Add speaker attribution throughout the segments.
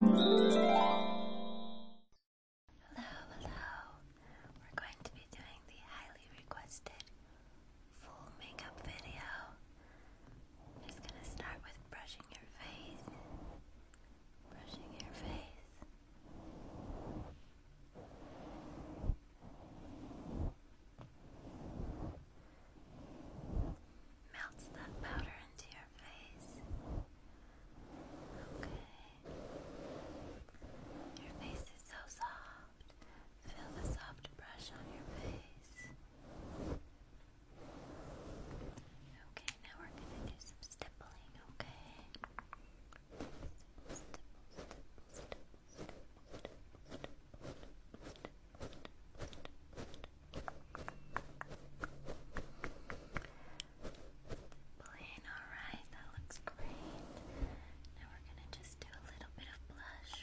Speaker 1: Hello, hello. We're going to be doing the highly requested full makeup video. just going to start with Brushing your face. Brushing your face melts that powder into your face. Okay. Your face is so soft. Feel the soft brush on your face. Okay, now we're gonna do some stippling, okay? Plain, alright, that looks great. Now we're gonna just do a little bit of blush.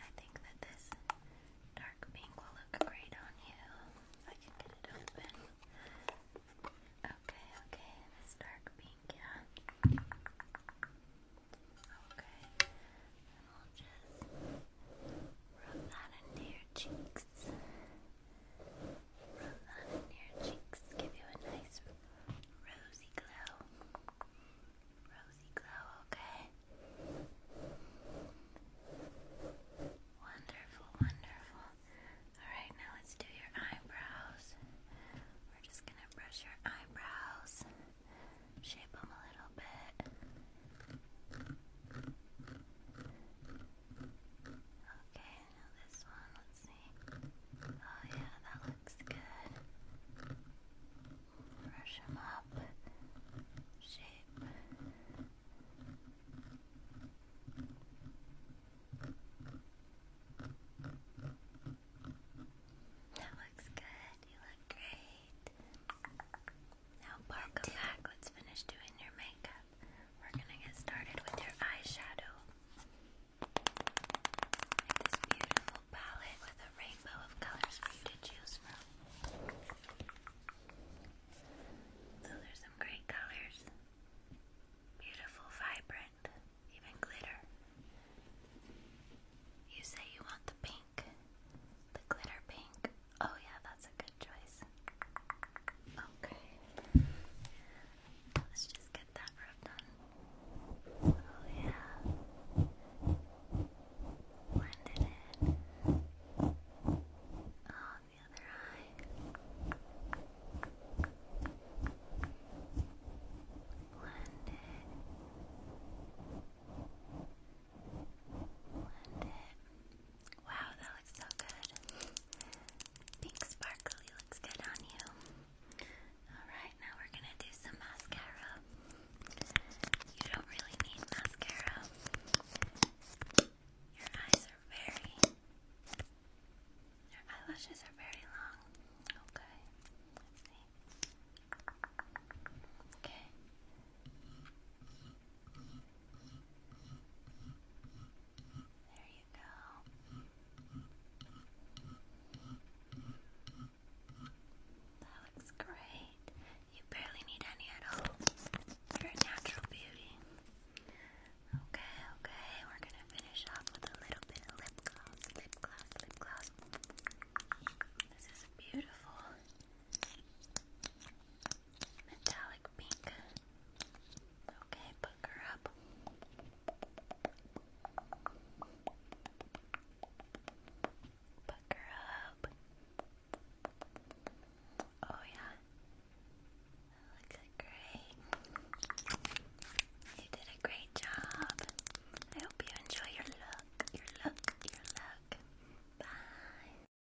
Speaker 1: I think that this dark pink will look great on you. I can get it open. Okay, okay, this dark pink yeah? Okay, and I'll just rub that into your cheeks. Rub that into your cheeks, give you a nice rosy glow. Rosy glow, okay? Wonderful, wonderful. Alright, now let's do your eyebrows. We're just gonna brush your eyebrows, shape them a little bit. Okay, now this one, let's see. Oh, yeah, that looks good. Brush them up, shape. That looks good. You look great. Now, welcome back. Let's finish doing your makeup. We're gonna get started with your eyeshadow. this beautiful palette with a rainbow of colors for you to choose from. So there's some great colors. Beautiful, vibrant, even glitter. You say you want the pink, the glitter pink. Oh, yeah, that's a good choice. Okay. Let's just get that rubbed on. Oh, yeah blended in. Oh, the other eye. Blended. Blended. Wow, that looks so good. Pink sparkly looks good on you. Alright, now we're gonna do some mascara. You don't really need mascara. Your eyes are very. Your eyelashes are very long. Okay. Okay. There you go. That looks great. You barely need any at all. You're a natural beauty. Okay, okay, we're gonna finish off with a little bit of lip gloss, lip gloss, lip gloss. This is beautiful. Metallic pink. Okay, hook her up. Buck her up. Oh yeah. looks great. You did a great job. I hope you enjoy your look. Your look. Your look. Bye.